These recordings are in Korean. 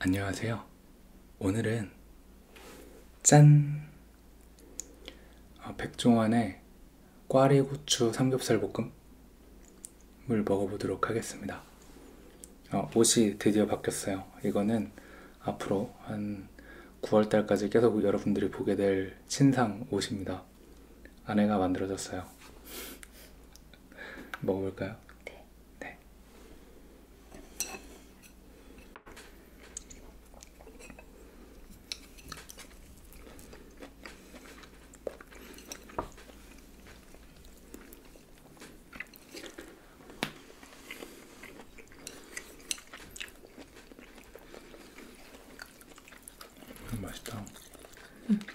안녕하세요. 오늘은 짠! 어, 백종원의 꽈리고추 삼겹살 볶음을 먹어보도록 하겠습니다. 어, 옷이 드디어 바뀌었어요. 이거는 앞으로 한 9월달까지 계속 여러분들이 보게 될 신상 옷입니다. 아내가 만들어줬어요. 먹어볼까요? 네. 네. 음, 맛있다. 음.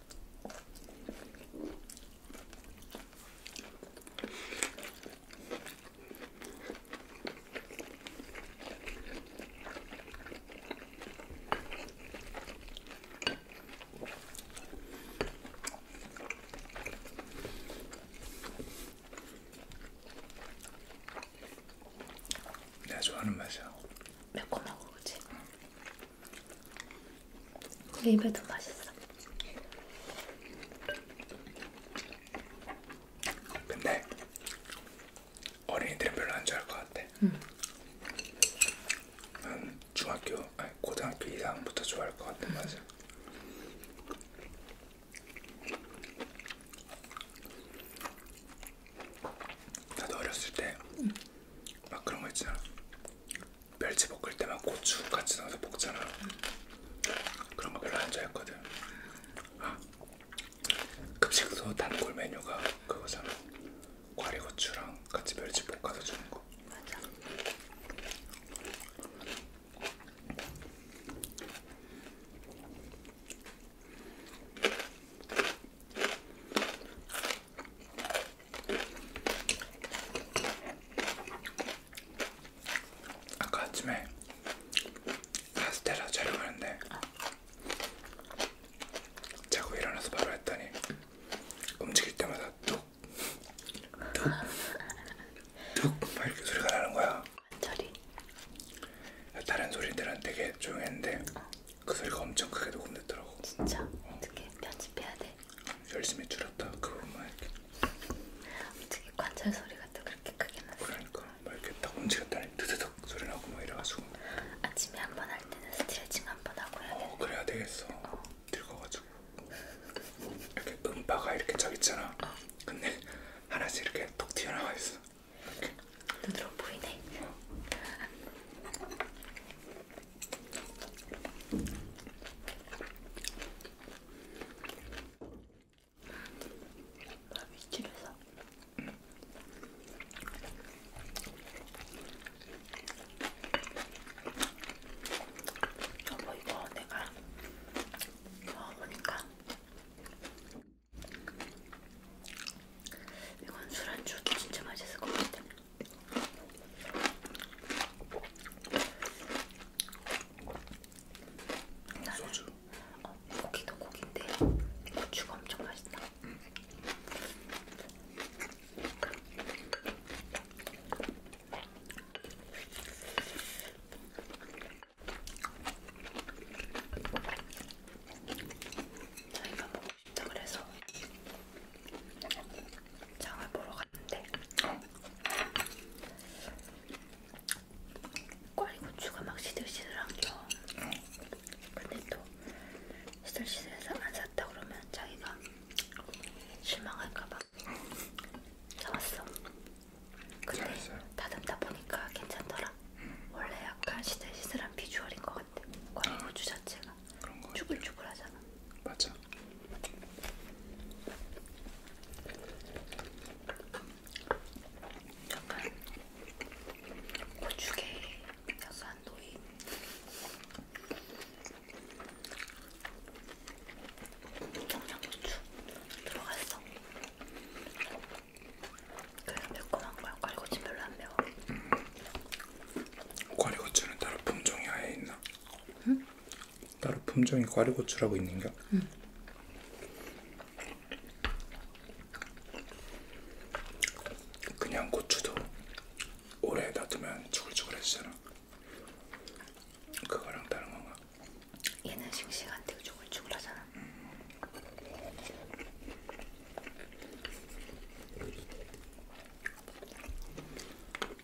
내가 좋아하는 맛이야. 매콤하고 그치? 응. 입에도 맛있어. 근데 어린이들은 별로 안 좋아할 것 같아. 응. 난 중학교, 아니 고등학교 이상부터 좋아할 것 같아. 응. 맞아. 나도 어렸을 때막 응. 그런 거 있잖아. 멸치 볶을 때만 고추 같이 넣어서 볶잖아. 그런 거 별로 안 좋아했거든. 아, 급식소 단골 메뉴가 그거잖아. 과리고추랑 같이 멸치 볶아서 주는 거. 맞아. 아까 아침에 카스테라 촬영하는데 자고 일어나서 바로 했더니 움직일 때마다 툭툭툭막 이렇게 소리가 나는 거야. 관절이. 다른 소리들은 되게 조용했는데 어. 그 소리가 엄청 크게 녹음됐더라고. 진짜? 어. 어떻게 편집해야 돼? 열심히 줄였다 그것만 이렇게 어떻게 관절 소리가 또 그렇게 크게 났어 그러니까 막 이렇게 딱 움직였다니 드드득 소리 나고 막 이래가지고 아침에 한 번 할 때는 스트레칭 한 번 하고 해야겠어 어 그래야 되겠어 어. 늙어가지고 이렇게 음바가 이렇게 쫙 있잖아 어. 근데 하나씩 이렇게 톡 튀어나와 있어 이렇게. 눈으로 보이네 어. 윗집에서 여보 이거 내가 먹어보니까 이건 술안주도 진짜 맛있을 것 같아. 소주. 어, 고기도 고기인데 고추가 엄청 맛있다. 음. 자기가 먹고 싶다 그래서 장을 보러 갔는데 꽈리고추가 막 시들시들한겨 근데 또 시들시들해서 안 샀다 그러면 자기가 실망할까봐 사왔어 근데 다듬다 보니까 괜찮더라 원래 약간 시들시들한 비주얼인 것 같아 꽈리고추 아, 자체가 쭈글쭈글하잖아 맞아 약간 고추게 약간 노인 청양고추 들어갔어. 그래서 매콤한 거야. 꽈리고추 별로 안 매워. 음. 꽈리고추는 따로 품종이 아예 있나? 응? 따로 품종이 꽈리고추라고 있는가? 응. 음. 그냥 고추도 오래 놔두면 주글주글해지잖아. 그거랑 다른 건가? 얘는 싱싱한데 주글주글하잖아. 음.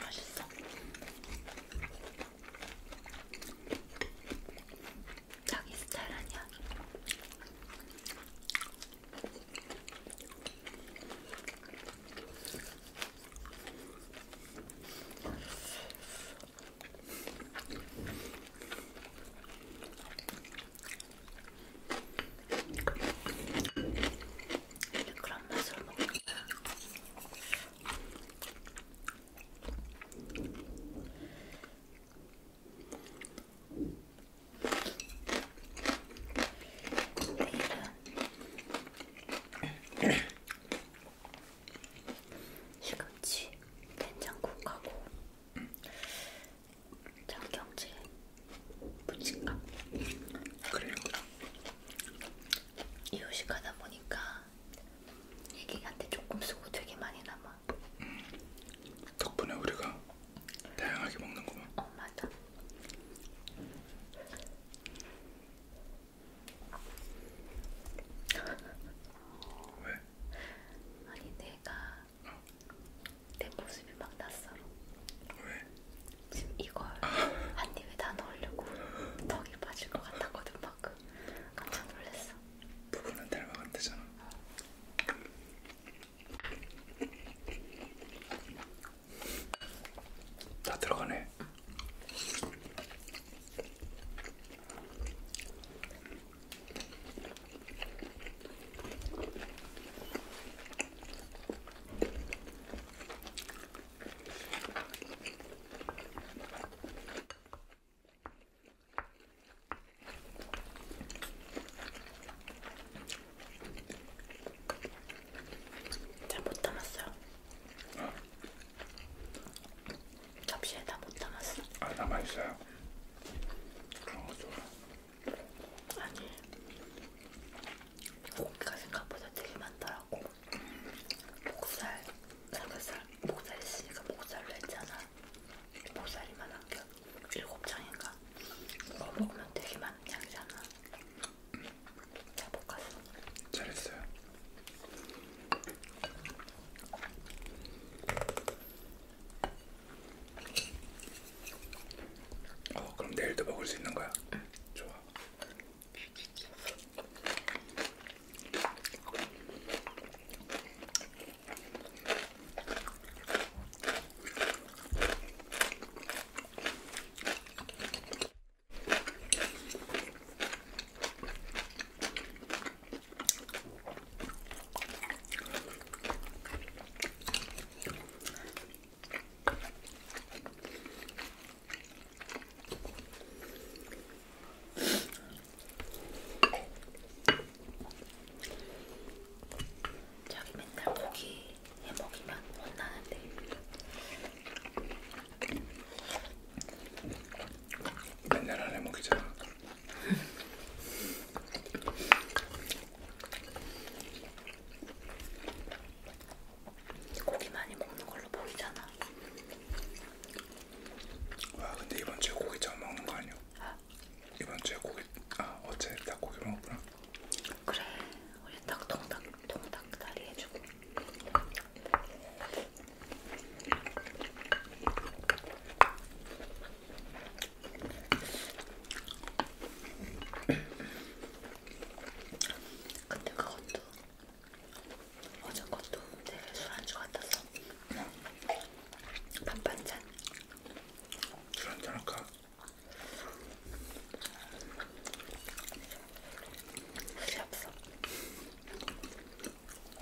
맛있어. 자기 스타일 아니야. 그런 맛으로 먹는 거야. 내일은 시금치 된장국하고 음. 장경채 부침가 그래요? 이유식 하다 보니까 애기한테 조금 쓰고 되게 많이 남아 음, 덕분에 우리가 다양하게 먹는구만 어 맞아 왜? 아니 내가 어. 내 모습이 막 낯설어. 왜? 지금 이걸 아. 한 입에 다 넣으려고 턱이 빠질 것 같았거든 방금. 깜짝 놀랐어. 부부는 닮아간대잖아. 어. 다 들어가네. 응. 잘못 담았어요. 어? 접시에 다 못 담았어. 아 남아 있어요. 그런 거 좋아. 아니 고기가 생각보다 되게 많더라고. 목살, 삼겹살, 목살 있으니까 목살로 했잖아. 목살이만 한 개, 일곱 장인가. 그거 먹으면 되게 많은 양이잖아. 잘 볶았어. 잘했어요. 어, 그럼 내일도 먹을 수 있는 거야? 응. 좋아. 자기 맨날 고기 해 먹이면 혼나는데. 맨날 안 해먹이잖아. 고기 많이 먹는 걸로 보이잖아. 와 근데 이번 주에 고기 처음 먹는 거 아니야? 아? 이번 주에 고기 아 어제 딱 고기 먹었구나. 그래 우리 딱 동닭 동닭 다리 해주고. 근데 그것도 어제 것도 되게 술안주 같아서 밥반찬 술한잔 할까? 술이 없어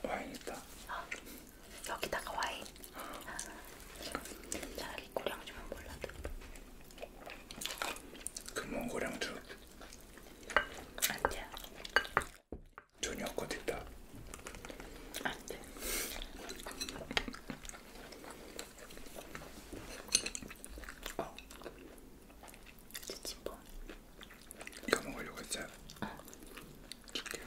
와인 있다 어, 여기다가 와인 잘 어. 자기 고량주만 몰라도 금원 그 고량주 안돼 저녁 곧 있다 안돼 어 지치뽕 이거 먹으려고 했잖아 어. 줄게요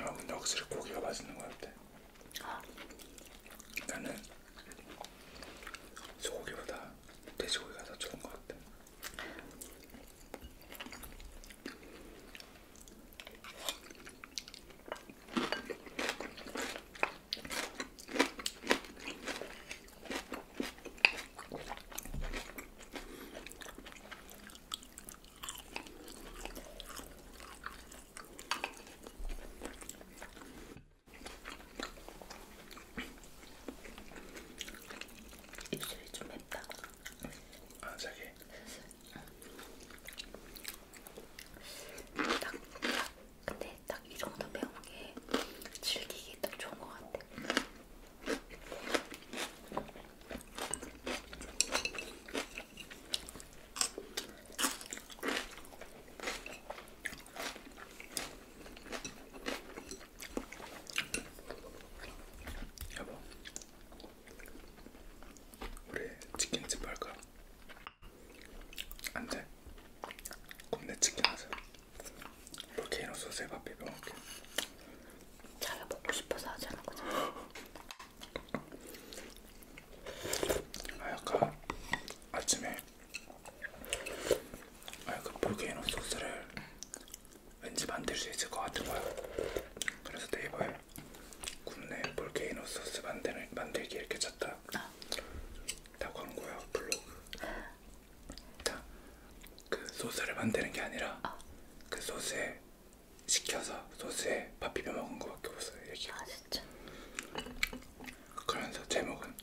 아 근데 확실히 고기가 맛있는 것 같아 아. 나는 소고기보다 돼지고기가 더 좋은 것 같아 입술이 좀 맵다. 아 자기. 딱, 딱 근데 딱 이 정도 매운 게 즐기기 딱 좋은 것 같아. 여보, 우리 치킨집 할까? 안 돼. 굽네 치킨 하자. 볼케이노 소스에 밥 비벼 먹게. 자기가 먹고 싶어서 하지 않은 거잖아. 아 약간 아침에 아 약간 볼케이노 소스를 왠지 만들 수 있을 것 같은 거야. 그래서 네이버에 국내 볼케이노 소스 만들 만들기 이렇게 쳤다. 다 광고야 블로그. 그러니까 그 소스를 만드는 게 아니라 어. 그 소스에 시켜서 소스에 밥 비벼 먹은 거밖에 없어요. 얘기가. 아 진짜. 그러면서 제목은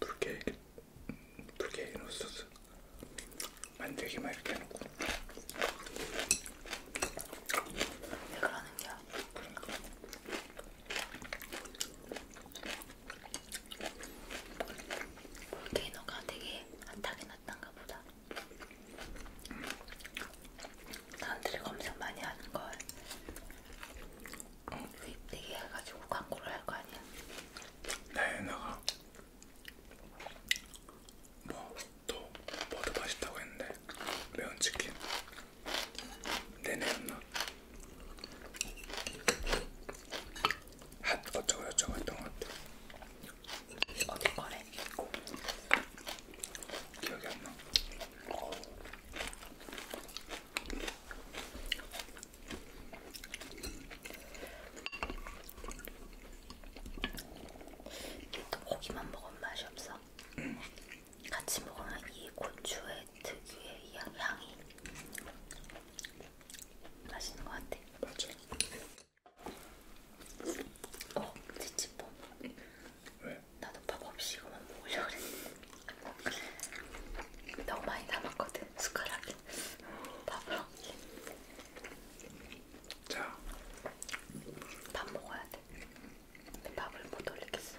불케이크 뭐, 불케이크 소스 만들기만 이렇게 해놓고. 왜 그러는 거야? 그러니까. 볼케이노가 되게 안타게 났던가 보다. 사람들이 검색 많이 하는 걸 수입 되게 해가지고 광고를 할 거 아니야? 네, 나가 뭐또 뭐도 맛있다고 했는데 매운 치킨 내내였나? 핫 어쩌고 저쩌고 했던 것 같아. 어디 거래? 기억이 안 나. 또 고기만 먹으면 맛이 없어. 응. 같이 먹으면 이 고추의 특유의 이 향이 맛있는 것 같아. 맞아. 어, 치치뽕. 왜? 나도 밥 없이 이거만 먹으려고 그랬는데 너무 많이 남았거든 숟가락에 밥을 없이. 자, 밥 먹어야 돼. 근데 밥을 못 올리겠어.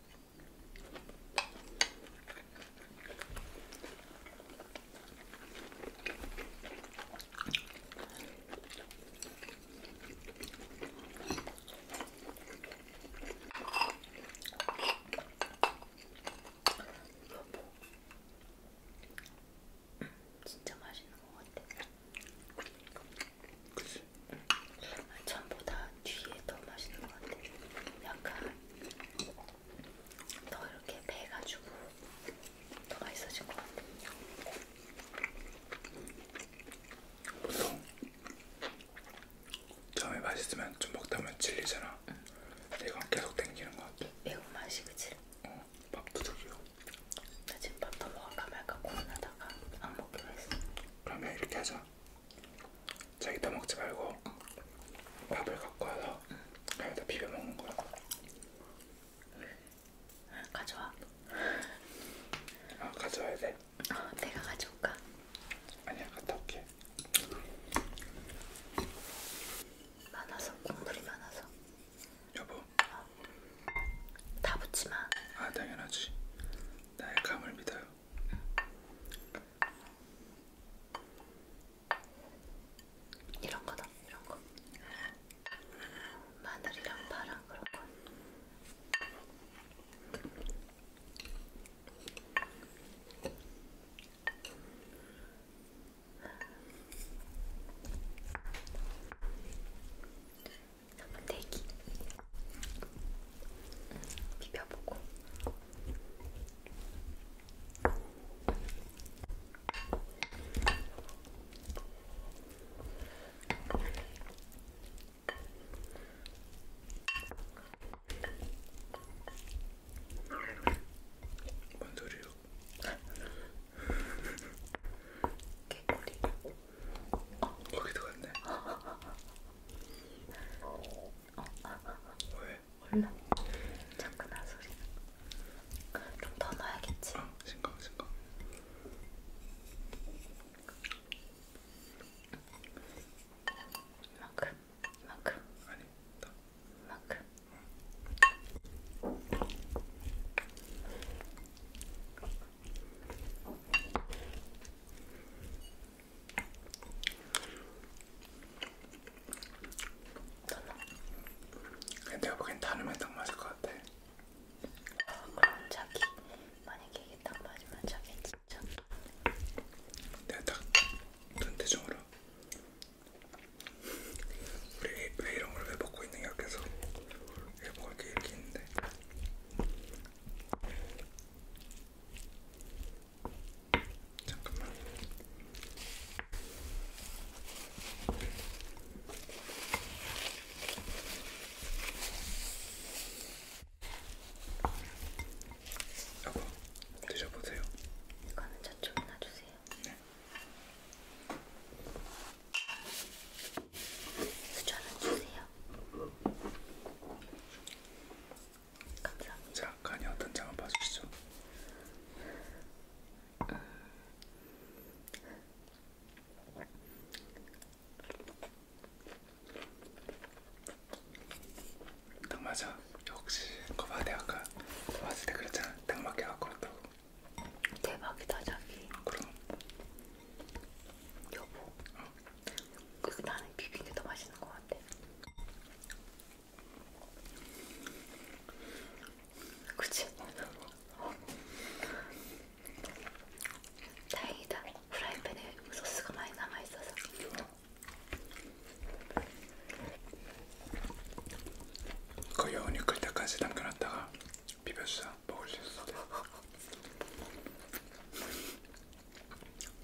진짜 맛있는 것 같아. 전보다 뒤에 더 맛있는 것 같아. 약간 더 이렇게 배가지고 더 맛있어진 것 같아. 보통 처음에 맛있으면 좀 먹다 보면 질리잖아. 응. 이건 계속 당기는 것 같아. 매운 맛이 그치? 어, 밥부족이요. 나 지금 밥 더 먹을까 말까 고민하다가 안 먹기로 했어. 그러면 이렇게 하자. 자기 떠먹지 말고 밥을 갖고 와서 밥에다 비벼 먹는 거야. 가져와. 아 가져와야 돼? 어, 내가 가져올까? 아니야 갔다 올게. 많아서 국물이 많아서. 여보. 어. 다 붙지 마. 아 당연하지. 나의 감을 믿어요. 이런 거다, 이런 거. 마늘이랑 파랑 그런 거. 잠깐 대기 비벼보고 뭔 소리요? 개꼬리 어. 거기 들어갔네. 어. 왜? 몰라. 잠깐만 소리. 좀 더 넣어야겠지. 어, 아, 신경 신경. 이만큼, 이만큼. 아니, 더. 이만큼. 내가 보기엔 다르면 딱 맞을 것 같아. 아, 그럼 자기 만약에 이게 딱 맞으면 자기 진짜. 내가 딱 눈대중으로 우리 왜 이런 걸 왜 먹고 있는 거야 계속 왜 먹을 게 이렇게 있는데. 잠깐만. 여보, 드셔보세요. 이거는 저쪽에 놔주세요. 네. 수저는 주세요. 감사합니다. 자, 간이 어떤 장을 봐주시죠. 음. 딱 맞아. 역시 거봐 대학가 왔을 때 그랬잖아. 딱 맞게 갖고 왔다고. 대박이다 자기. 그럼. 여보. 어. 그 나는 비빈 게더 맛있는 것 같아. 그치? 다행이다. 프라이팬에 소스가 많이 남아있어서. 거의 어운이 끌 때까지 남겨놨다가 비벼주자 먹을 수 있어.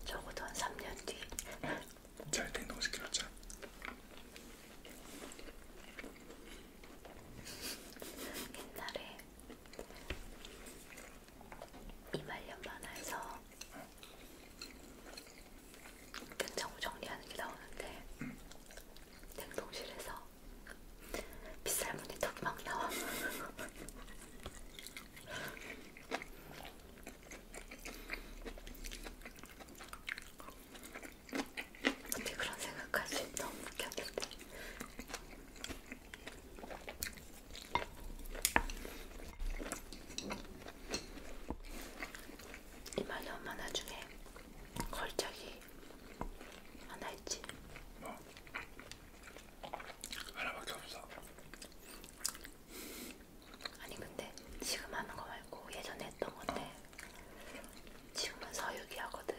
적어도 한 3년 뒤. 잘된 50kg 짜. 옛날에 이말년 만화에서 냉장고 정리하는 게 나오는데 응. 냉동실에서 빗살무늬 턱막 나와. 어떻게 그런 생각할 수 있나? 너무 웃겼는데. 이만희 엄마 나중에 걸작이 하나 있지? 뭐? 하나밖에 없어. 아니 근데 지금 하는 거 말고 예전에 했던 건데 지금은 서유기 하거든.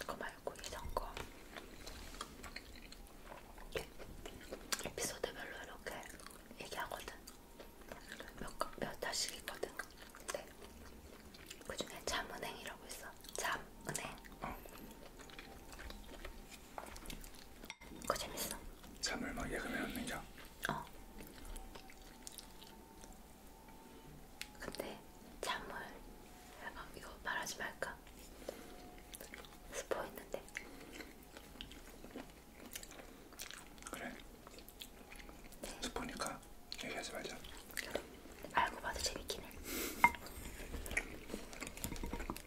그거 말고 예전 거. 에피소드별로 이렇게 얘기하거든. 몇, 몇 달씩 있거든. 근데 그 중에 잠은행이라고 있어. 잠은행. 어. 그거 재밌어. 잠을 막 예금해 놓는 거. 어. 근데 잠을 아, 이거 말하지 말까? 스포 있는데. 그래. 네. 스포니까 얘기하지 말자. 알고 봐도 재밌긴 해.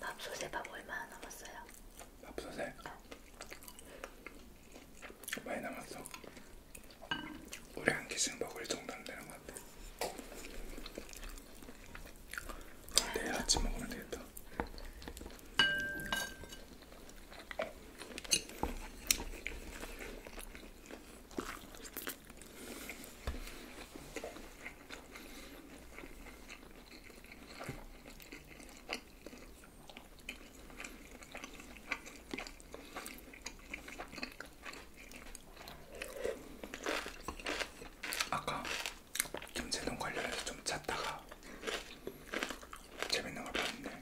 밥솥에 밥 얼마나 남았어요? 밥솥에? 어. 네. 많이 남았어. 우리 한 개씩 먹을 정도는 되는 것 같아. 내일 아침 먹으면 되겠다. 아까 김새동 관련해서 좀 찾다가 재밌는 걸 봤는데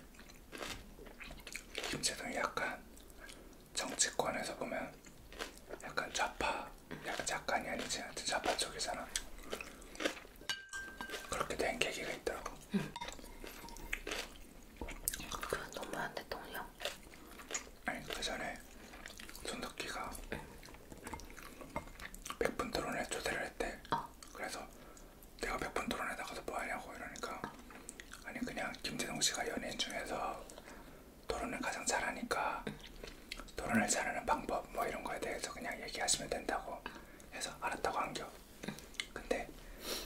김새동이 약간 정치권에서 보면 약간 좌파 약간 작가니 아니지 하여튼 좌파 쪽이잖아 그렇게 된 계기가 있더라고 응. 그건 너무한 대통령 아니 그 전에 손덕기가 응. 100분 토론에 초대를 했대. 어. 그래서 내가 100분 토론에 나가서 뭐 하냐고 이러니까 어. 아니 그냥 김재동 씨가 연예인 중에서 토론을 가장 잘하니까 토론을 잘하는 방법 뭐 이런 거에 대해서 그냥 얘기하시면 된다고 해서 알았다고 한겨. 근데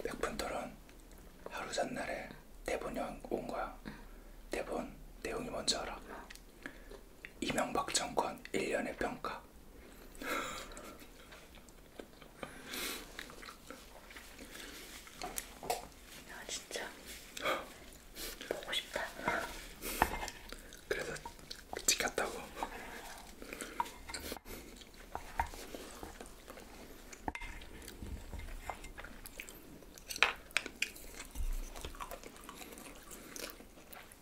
100분 토론 하루 전날에 대본이 온 거야. 대본 내용이 뭔지 알아? 이명박 정권 1년의 평가. 야 아, 진짜 보고 싶다. 그래서 지켰다고.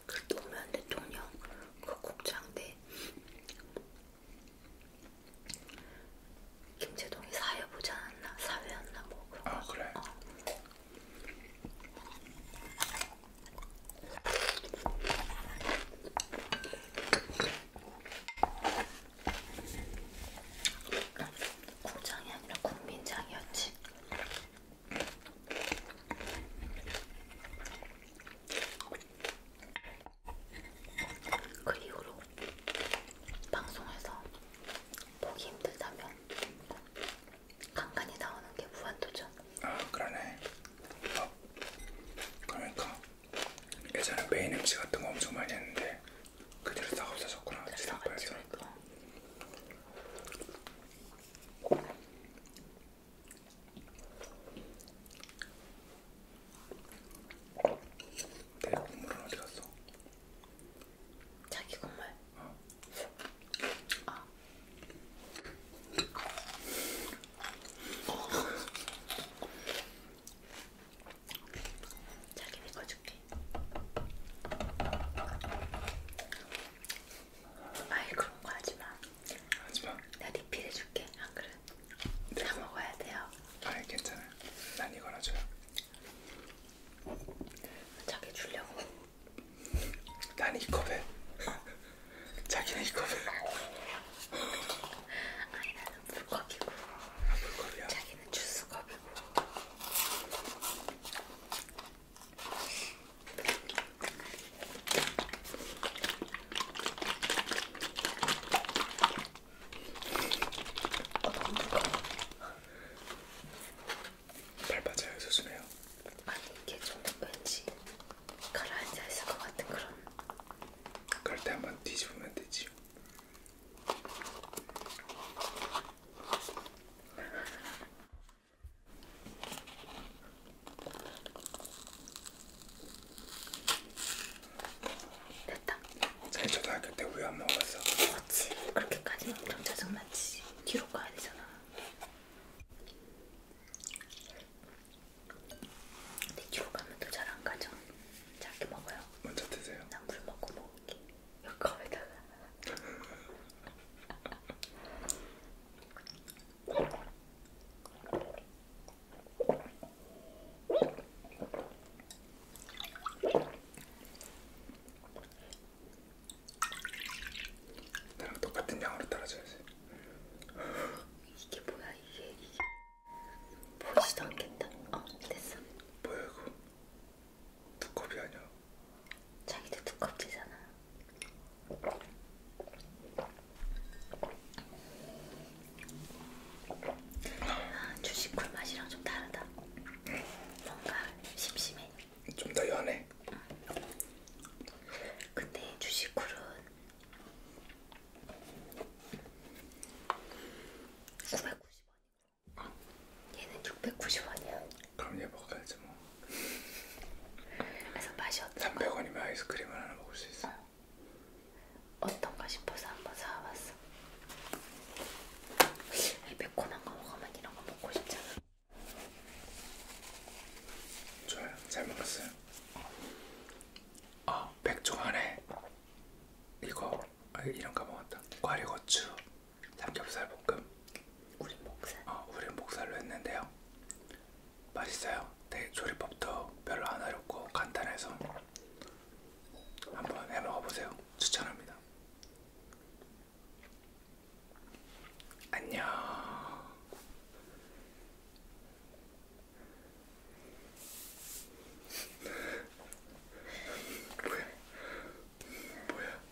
그 노무현 대통령 그 국장 때 김재동이 사회보지 않았나? 사회였나? 뭐 그런 아 거. 그래? 어. 국장이 아니라 국민장이었지. 그 이후로 방송에서 보기 힘들다면 간간히 나오는 게 무한도전. 아 그러네. 어. 그러니까 예전에 메인 MC 같은 거 엄청 많이 했는데 그대로 다 없어졌구나. 지상파에서. 그러니까. 내 국물은 어디 갔어? 자기 국물? 어. 아. 자기 내꺼 줄게. 아이 그런 거 하지 마. 하지 마. 내가 리필 해줄게. 안 아, 그래? 네. 다 먹어야 돼요. 아이 괜찮아. 난 이거나 줘요. 자기 주려고. 난 이 컵에. 자기는 이 컵에. 아니 나는 물컵이고. 아, 물컵이야. 자기는 주스컵이고. 발바닥에 수수네요. 아니 이게 좀 왠지 가라앉아 있을 것 같은 그런. 그럴 때 한번 뒤집으면 되지. 됐다. 사실 초등학교 때 우유 안 먹었어. 그렇지. 그렇게까지는 엄청 짜증났지. 뒤로 가야 되잖아. 근데 뒤로 가면 또 잘안 가죠. 자기 먹어요. 먼저 드세요. 난 물 먹고 먹을게. 여기다가 나랑 똑같은 양으로 따라줘야지. 이게 뭐야 이게 이게 보이지도 않겠다. 어 됐어. 뭐야 이거? 두껍이 아니야. 자기도 두껍지잖아. 아, 주식 꿀맛이랑 좀 다르다. 뭔가 심심해. 좀 더 연해. 응. 근데 주식 꿀은 구백구십 원이고 얘는 690원이야. 그럼 얘 먹어야지 뭐, 뭐. 그래서 맛이 어떤가? 300원이면 아이스크림을 하나 먹을 수 있어. 어. 어떤가 싶어서 한번 사와봤어. 이 매콤한 거 먹으면 이런 거 먹고 싶잖아. 좋아요. 잘 먹었어요. 어, 아, 백종 안에 이거 아, 이런 거 먹었다. 과리고추 삼겹살 볶음. 우린 목살. 어, 우린 목살로 했는데요. 맛있어요. 되게 조리법도 별로 안 어렵고 간단해서 한번 해 먹어보세요. 추천합니다. 안녕. 뭐야? 뭐야?